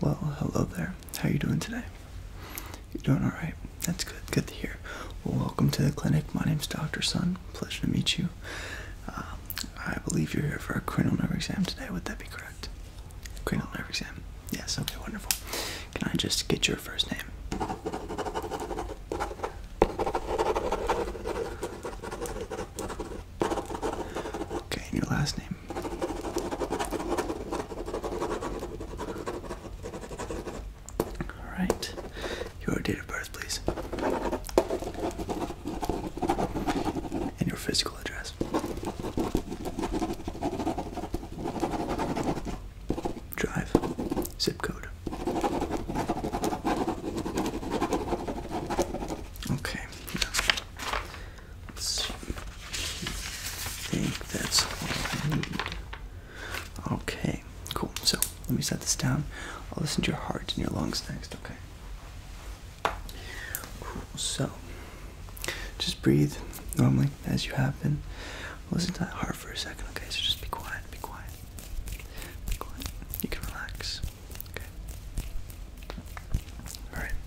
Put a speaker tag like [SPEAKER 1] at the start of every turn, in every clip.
[SPEAKER 1] Well, hello there. How are you doing today? You're doing all right. That's good. Good to hear. Well, welcome to the clinic. My name is Dr. Sun. Pleasure to meet you. Uh, I believe you're here for a cranial nerve exam today. Would that be correct? Cranial nerve exam. Yes. Okay. Wonderful. Can I just get your first name? Okay, and your last name. Alright. Your date of birth, please. And your physical address. Drive. Zip code. Okay. I think that's all I need. Okay, cool. So let me set this down. I'll listen to your heart and your lungs next, okay? Cool. So just breathe normally as you have been. Listen to that heart for a second, okay? So just be quiet, be quiet, be quiet. You can relax, okay? All right.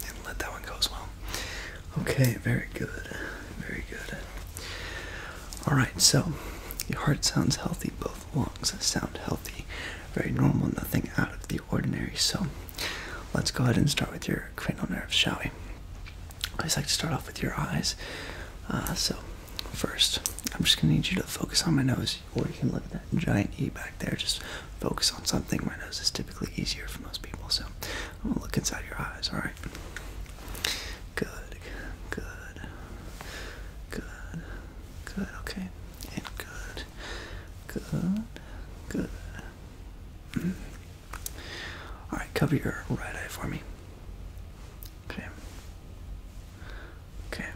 [SPEAKER 1] And let that one go as well. Okay, very good. Very good. Alright, so your heart sounds healthy, both lungs sound healthy. Very normal, nothing out of the ordinary. So let's go ahead and start with your cranial nerves, shall we? I just like to start off with your eyes. Uh, so, first, I'm just gonna need you to focus on my nose, or you can look at that giant E back there. Just focus on something. My nose is typically easier for most people, so I'm gonna look inside your eyes. All right. Good. Good. Good. Good. Okay. good. Good. Good. Mm-hmm. All right, cover your right eye for me. Okay. Okay.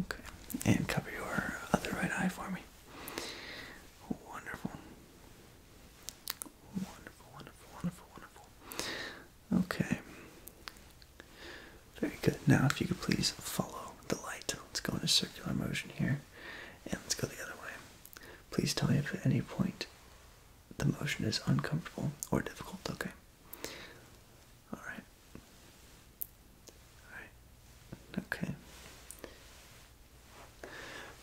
[SPEAKER 1] Okay. And cover your other right eye for me. Wonderful. Wonderful, wonderful, wonderful, wonderful. Okay. Very good. Now, if you could please follow the light, let's go in a circular motion here. And let's go the other way. Please tell me if at any point the motion is uncomfortable or difficult, okay? Alright. Alright. Okay.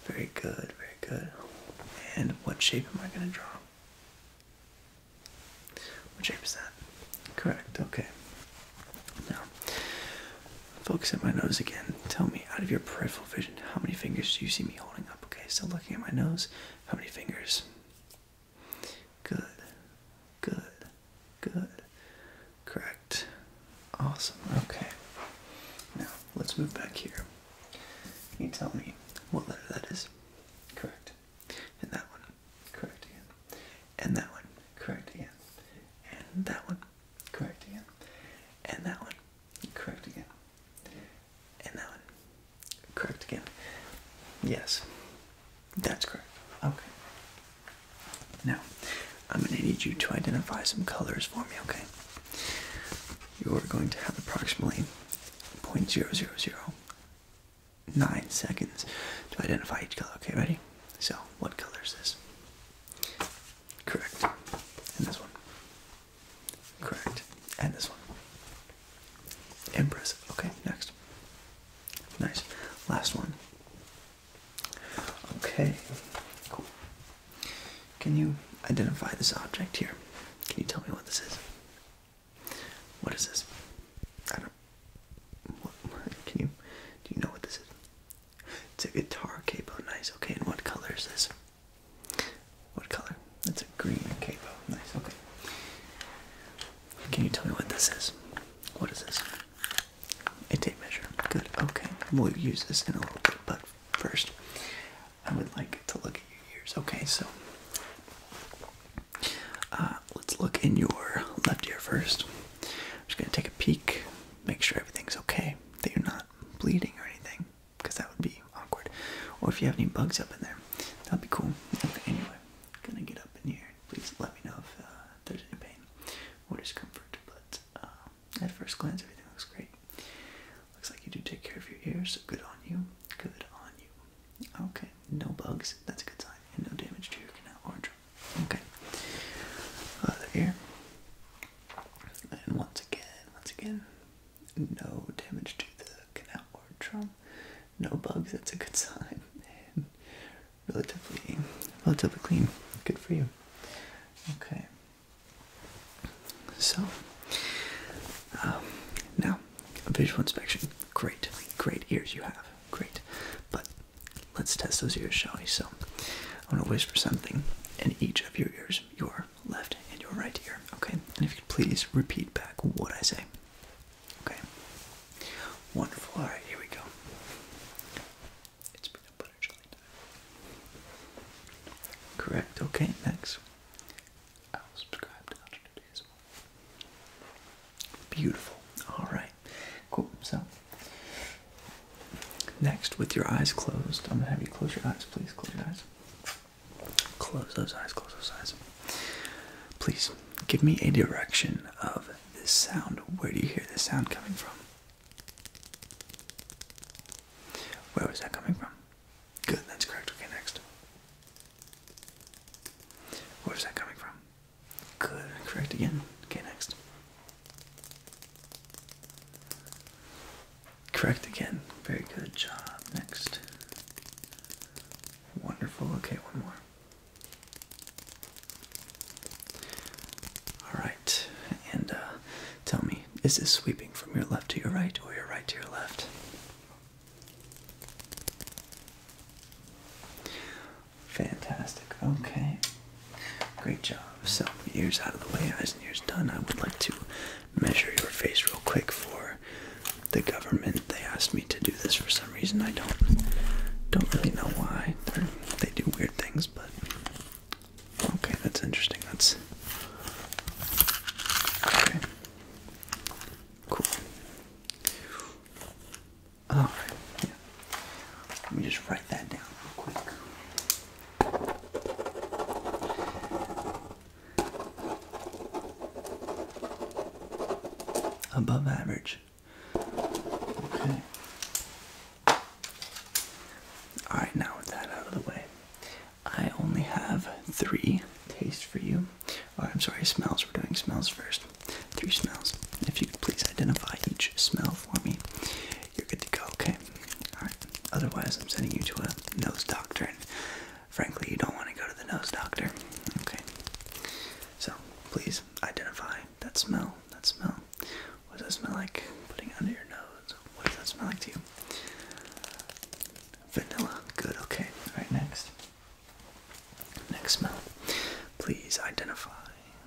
[SPEAKER 1] Very good, very good. And what shape am I going to draw? What shape is that? Correct, okay. Now, Focus at my nose again. Tell me, out of your peripheral vision, how many fingers do you see me holding up? Okay, Still looking at my nose, how many fingers? Good, good, good. Correct. Awesome. Okay. Now, let's move back here. Can you tell me what letter that is? Correct. And that one. Correct again. And that one. Correct again. And that one. Correct again. And that one. Correct again. And that Correct again. Yes. That's correct. Okay. Now, I'm going to need you to identify some colors for me, okay? You're going to have approximately 0.0009 seconds to identify each color, okay? Ready? So, what color is this? Correct. And this one. Correct. And this one. Impressive. Okay, next. Nice. Last one. Okay. Cool. Can you identify this object here? Can you tell me what this is? What is this? I don't. can you? Do you know what this is? It's a guitar capo. Nice. Okay. And what color is this? What color? That's a green capo. Nice. Okay. Can you tell me what this is? What is this? A tape measure. Good. Okay. We'll use this in a little bit, but first, I would like to look at your ears. Okay. So, uh, let's look in your left ear 1st just gonna take a peek, make sure everything's okay, that you're not bleeding or anything because that would be awkward. Or if you have any bugs up in there, that'd be cool. Okay, anyway, gonna get up in here. Please let me know if uh, there's any pain or discomfort. But uh, at first glance, everything looks great. Looks like you do take care of your ears. So good on you. Good on you. Okay, no bugs. That's a good sign. And no damage to your canal or drum. Okay. Other ear. And once again, once again, no damage to the canal or drum, no bugs, that's a good sign, relatively, relatively clean, good for you. Okay, so um, now a visual inspection, great, great ears you have, great, but let's test those ears, shall we? So I'm gonna whisper something in each of your ears, your left and your right ear. Okay, and if you could please repeat back what I say. Okay, wonderful. All right, here we go. It's peanut butter jelly time. Correct. Okay, next. I'll subscribe to Hunter Today's Beautiful. All right. Cool. So, next, with your eyes closed, I'm gonna have you close your eyes. Please close your eyes. Close those eyes, close those eyes. Please give me a direction of this sound. Where do you hear this sound coming from? Where was that coming from? Good, that's correct. Okay, next. Where's that coming from? Good, correct again. Okay, next. Correct again. Very good job. Next. Wonderful. Okay, one more. All right. And uh, tell me, is this sweeping from your left to your right or your right to your left? Fantastic. Okay. Great job. So, ears out of the way, eyes and ears done. I would like to measure your face real quick for the government. They asked me to do this for some reason. I don't don't really know why. they do weird things, but okay, that's interesting. That's okay. Cool. All right. Yeah. Let me just write that down real quick. Above average. Okay. Alright, now with that out of the way, I only have three tastes for you. Or, I'm sorry, smells. We're doing smells first. Three smells. If you could please identify each smell for me, you're good to go, okay? Alright. Otherwise, I'm sending you to a nose doctor, frankly, you don't want to go to the nose doctor. Okay. So, please identify that smell. That smell. What does that smell like? Putting under your nose. What does that smell like to you? Vanilla. Good. Okay. Alright, next. Next smell. Please identify.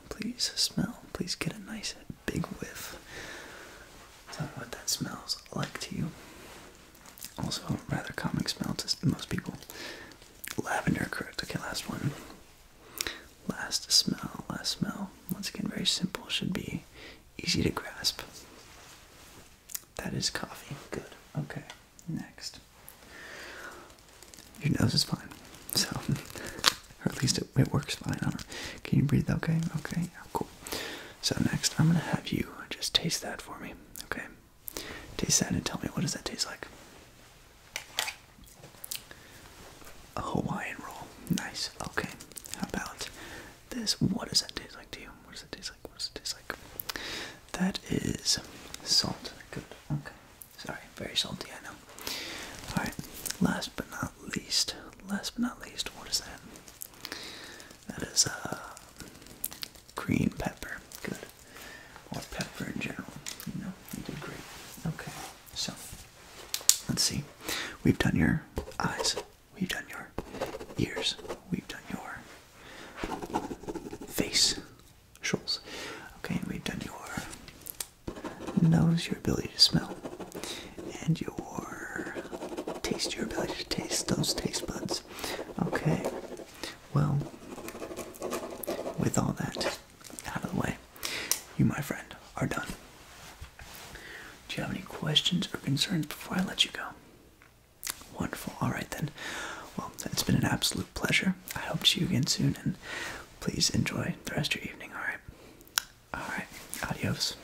[SPEAKER 1] Please smell. Please get a nice big whiff. Tell me what that smells like to you. Also, rather common smell to most people. Lavender, correct. Okay, last one. Last smell, last smell. Once again, very simple, should be easy to grasp. That is coffee. Good. Okay, next. Your nose is fine. So, or at least it, works fine Can you breathe okay? Okay, cool. So next, I'm gonna have you just taste that for me. Okay. Taste that and tell me what does that taste like? A Hawaiian roll. Nice. Okay. How about this? What does that taste like to you? What does it taste like? What does it taste like? That is salt. Good. Okay. Sorry. Very salty. I know. All right. Last but not least. Last but not least. What is that? That is a uh, green pepper. Good. Or pepper in general. You know, you did great. Okay. So, let's see. We've done your eyes. We've done your ears. We've done your face. Shoals. Okay, and we've done your nose, your ability to smell and your taste, your ability to taste those taste buds. Okay, well, with all that out of the way, you, my friend, are done. Do you have any questions or concerns before I let you go? Wonderful. All right, then. Well, it's been an absolute pleasure. I hope to see you again soon, and please enjoy the rest of your evening, all right? All right. Adios.